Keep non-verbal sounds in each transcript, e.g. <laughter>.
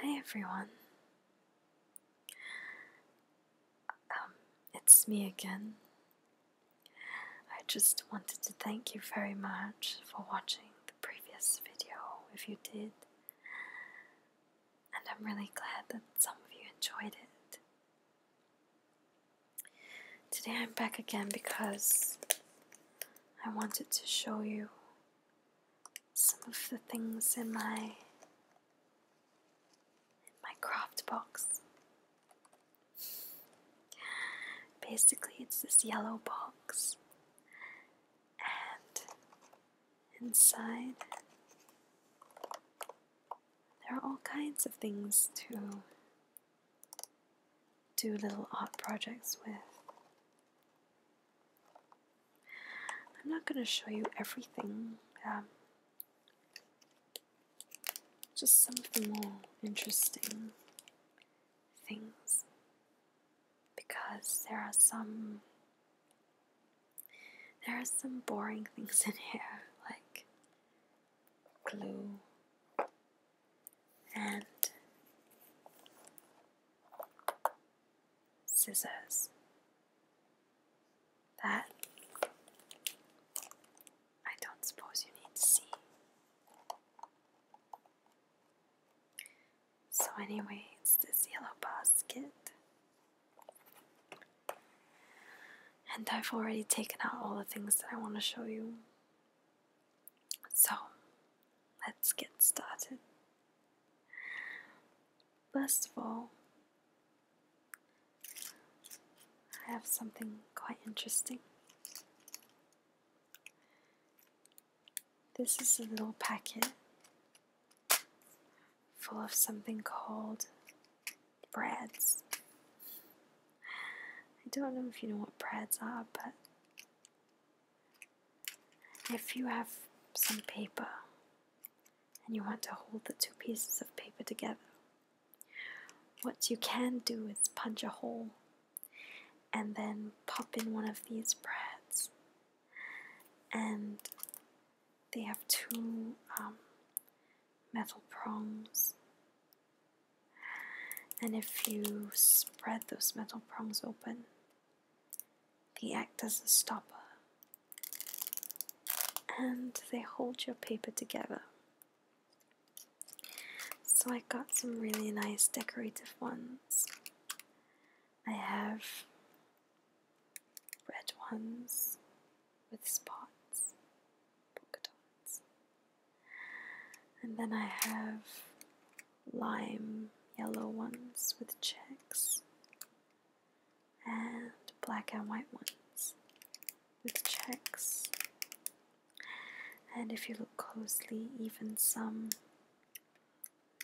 Hi everyone. Um, it's me again. I just wanted to thank you very much for watching the previous video if you did. And I'm really glad that some of you enjoyed it. Today I'm back again because I wanted to show you some of the things in my my craft box. Basically, it's this yellow box, and inside there are all kinds of things to do little art projects with. I'm not going to show you everything, um, just some of the more interesting things because there are some there are some boring things in here like glue and scissors that I don't suppose you need to see. So, anyway, it's this yellow basket. And I've already taken out all the things that I want to show you. So let's get started. First of all, I have something quite interesting. This is a little packet full of something called breads. I don't know if you know what breads are, but if you have some paper and you want to hold the two pieces of paper together, what you can do is punch a hole and then pop in one of these brads. And they have two um, metal prongs and if you spread those metal prongs open, they act as a stopper. And they hold your paper together. So I got some really nice decorative ones. I have red ones with spots polka dots and then I have lime yellow ones with checks, and black and white ones with checks. And if you look closely, even some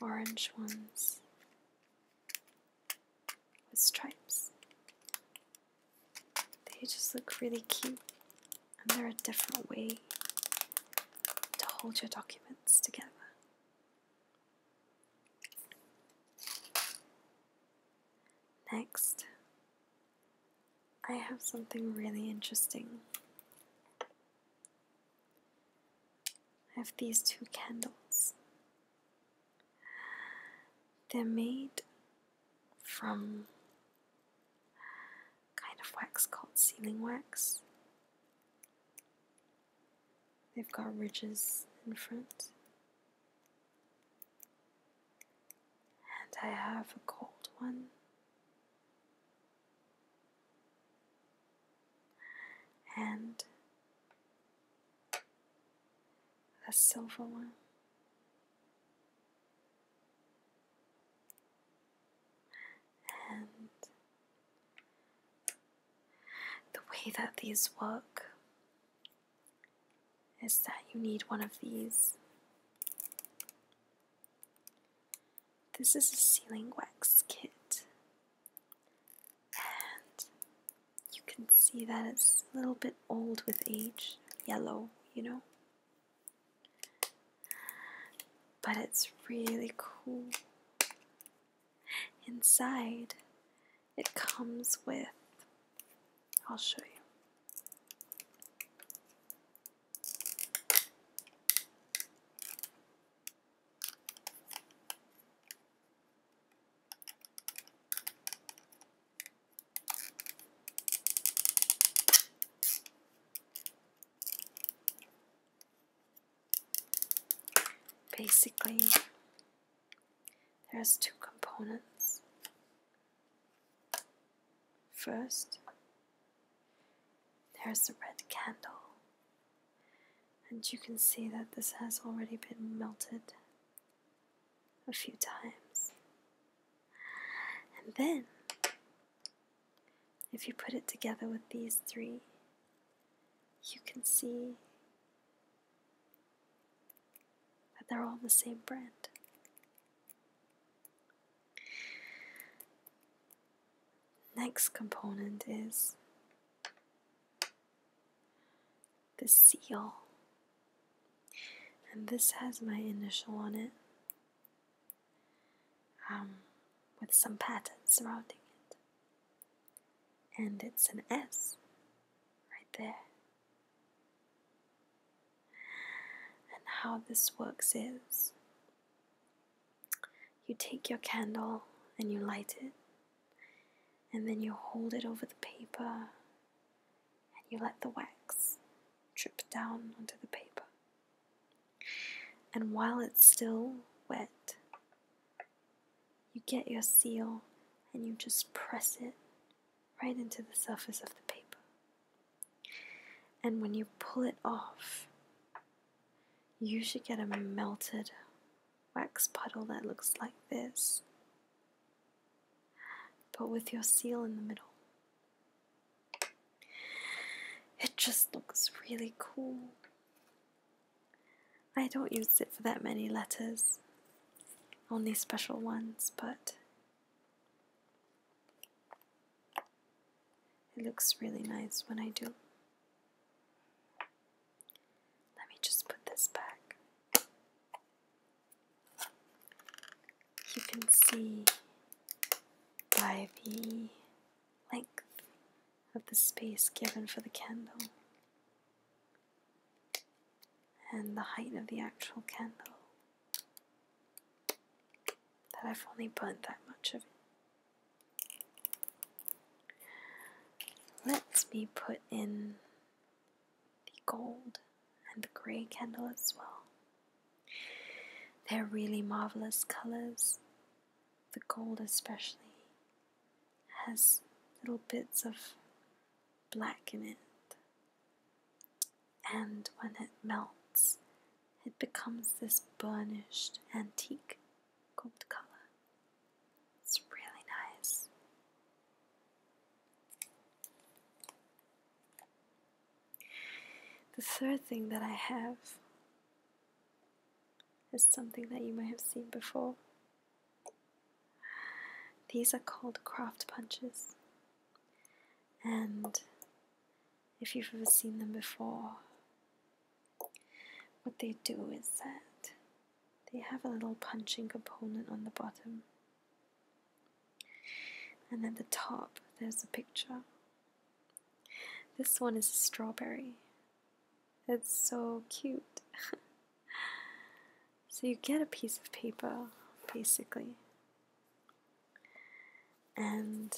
orange ones with stripes. They just look really cute and there are different ways to hold your documents together. Next, I have something really interesting. I have these two candles. They're made from kind of wax called sealing wax. They've got ridges in front. And I have a gold one. And a silver one. And the way that these work is that you need one of these. This is a sealing wax kit, and you can see that it's a little bit old with age, yellow, you know. But it's really cool. Inside, it comes with. I'll show you. Basically, there's two components. First, there's the red candle, and you can see that this has already been melted a few times. And then, if you put it together with these three, you can see that they're all the same brand. Next component is the seal and this has my initial on it um, with some patterns surrounding it. And it's an S right there. And how this works is you take your candle and you light it, and then you hold it over the paper and you let the wax drip down onto the paper. And while it's still wet, you get your seal and you just press it right into the surface of the paper. And when you pull it off, you should get a melted wax puddle that looks like this but with your seal in the middle. It just looks really cool. I don't use it for that many letters, only special ones, but it looks really nice when I do. Let me just put this back you can see by the length of the space given for the candle and the height of the actual candle that I've only burnt that much of it. Let me put in the gold and the grey candle as well. They're really marvelous colors. The gold, especially, has little bits of black in it, and when it melts, it becomes this burnished antique gold color. It's really nice. The third thing that I have is something that you may have seen before. These are called craft punches, and if you've ever seen them before, what they do is that they have a little punching component on the bottom. And at the top, there's a picture. This one is a strawberry. It's so cute. <laughs> so you get a piece of paper, basically. And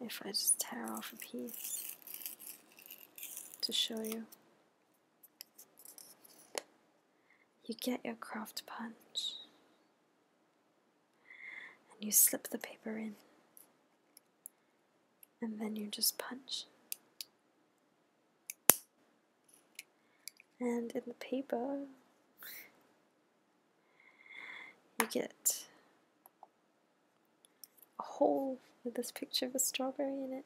if I just tear off a piece to show you, you get your craft punch and you slip the paper in, and then you just punch. And in the paper, you get a hole with this picture of a strawberry in it.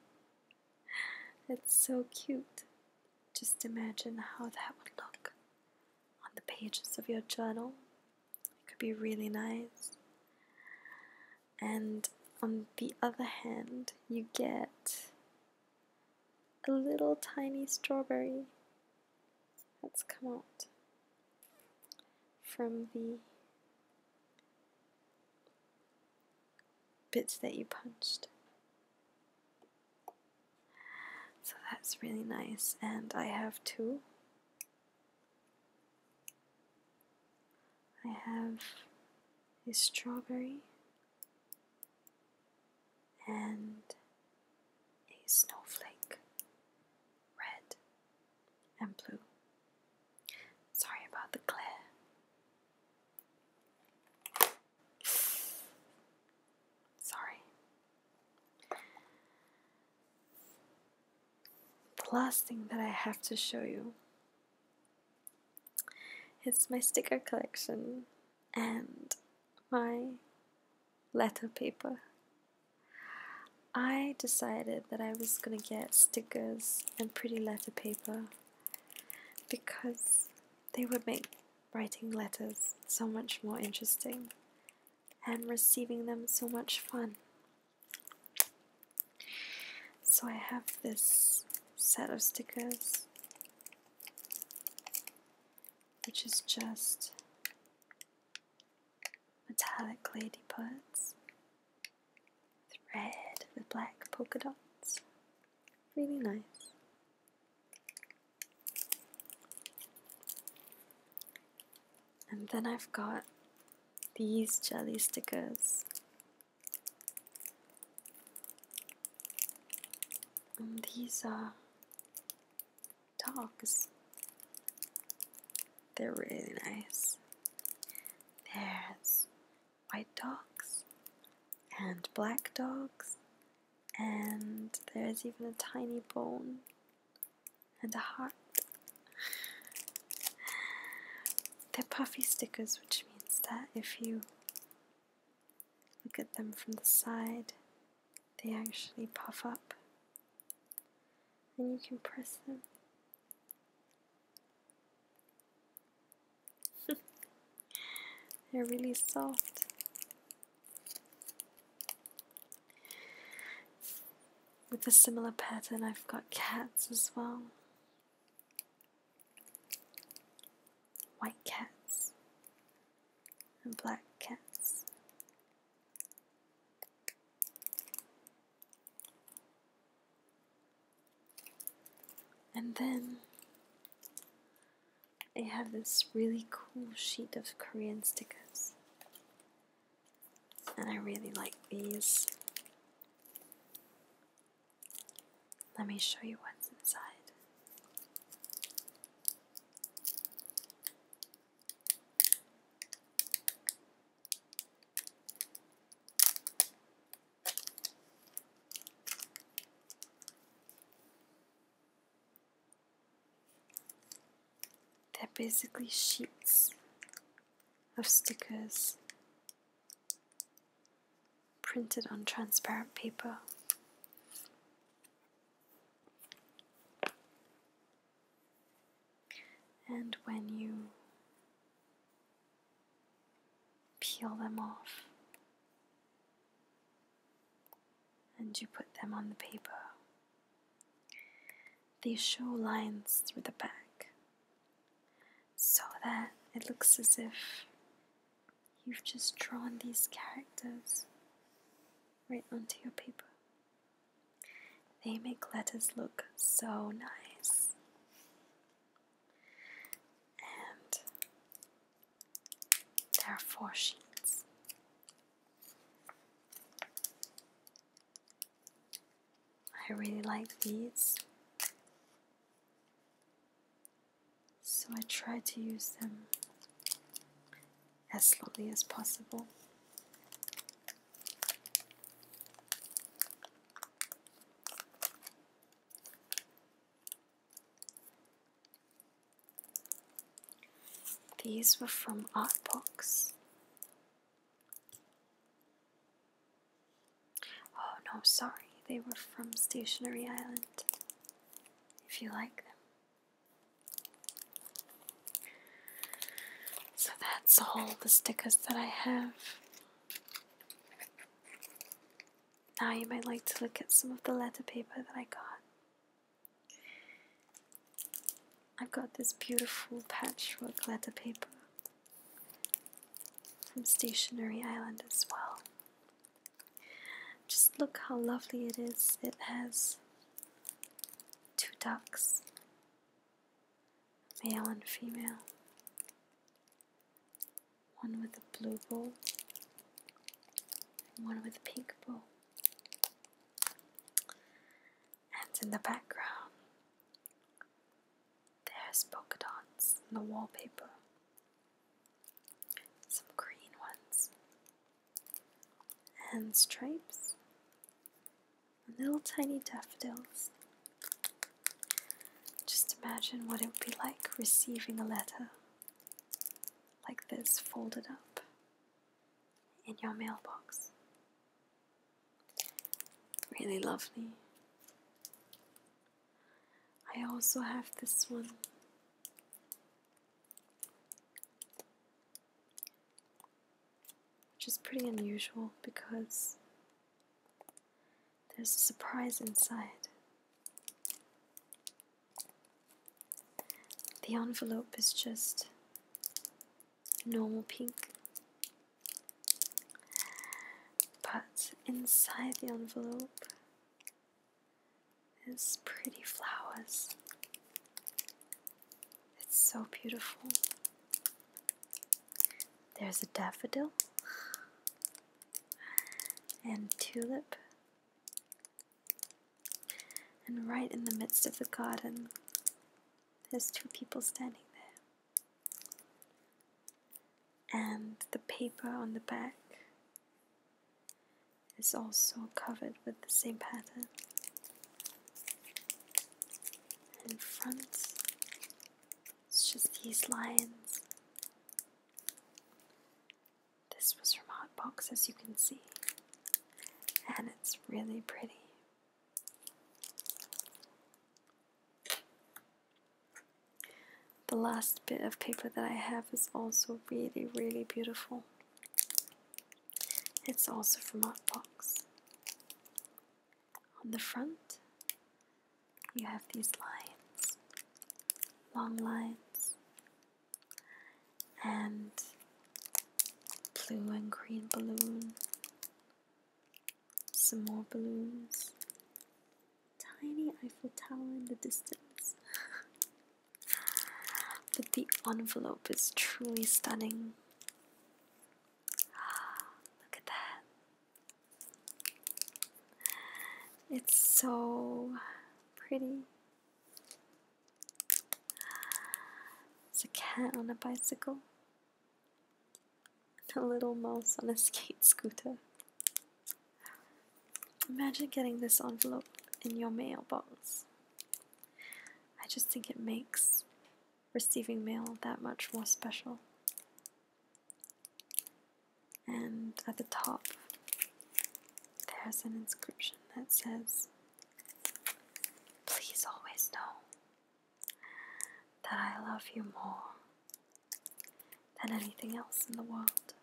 It's so cute. Just imagine how that would look on the pages of your journal. It could be really nice. And on the other hand, you get a little tiny strawberry that's come out from the bits that you punched. So that's really nice, and I have two. I have a strawberry and a snowflake, red and blue. Sorry about the glare. Sorry. The last thing that I have to show you is my sticker collection and my letter paper. I decided that I was gonna get stickers and pretty letter paper because they would make writing letters so much more interesting and receiving them so much fun. So I have this set of stickers which is just metallic ladybuds with with black polka dots. Really nice. And then I've got these jelly stickers. And these are uh, dogs. They're really nice. There's white dogs and black dogs, and there's even a tiny bone and a heart. They're puffy stickers, which means that if you Look at them from the side, they actually puff up, and you can press them. <laughs> They're really soft. With a similar pattern, I've got cats as well white cats and black cats. And then I have this really cool sheet of Korean stickers. And I really like these. Let me show you what's inside. They're basically sheets of stickers printed on transparent paper. And when you peel them off and you put them on the paper, they show lines through the back so that it looks as if You've just drawn these characters right onto your paper. They make letters look so nice. And there are four sheets. I really like these. So I try to use them as slowly as possible. These were from Artbox. Oh no, sorry, they were from Stationery Island. If you like them. So that's all the stickers that I have. Now you might like to look at some of the letter paper that I got. I've got this beautiful patchwork letter paper from Stationery Island as well. Just look how lovely it is. It has two ducks, male and female, one with a blue bow, and one with a pink bow. And in the background, there's polka dots on the wallpaper some green ones, and stripes, and little tiny daffodils. Just imagine what it would be like receiving a letter like this folded up in your mailbox. Really lovely. I also have this one. Which is pretty unusual because there's a surprise inside. The envelope is just normal pink, but inside the envelope is pretty flowers. It's so beautiful. There's a daffodil and tulip. And right in the midst of the garden, there's two people standing there and the paper on the back is also covered with the same pattern. In front, it's just these lines. This was from Hot Box, as you can see, and it's really pretty. The last bit of paper that I have is also really, really beautiful. It's also from Artbox. On the front, you have these lines, long lines, and blue and green balloon, some more balloons. Tiny Eiffel Tower in the distance. <laughs> but the envelope is truly stunning. <gasps> Look at that. It's so pretty. It's a cat on a bicycle. A little mouse on a <laughs> skate scooter. Imagine getting this envelope in your mailbox. I just think it makes receiving mail that much more special. And at the top, there's an inscription that says, Please always know that I love you more than anything else in the world.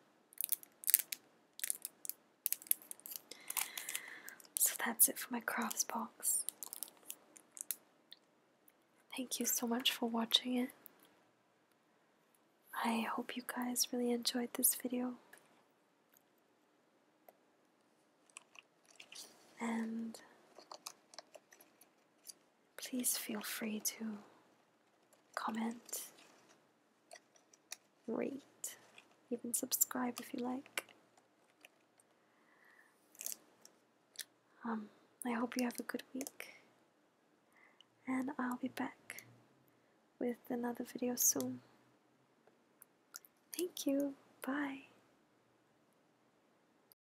So that's it for my crafts box. Thank you so much for watching it. I hope you guys really enjoyed this video. And please feel free to comment, rate, even subscribe if you like. Um, I hope you have a good week, and I'll be back with another video soon. Thank you, bye.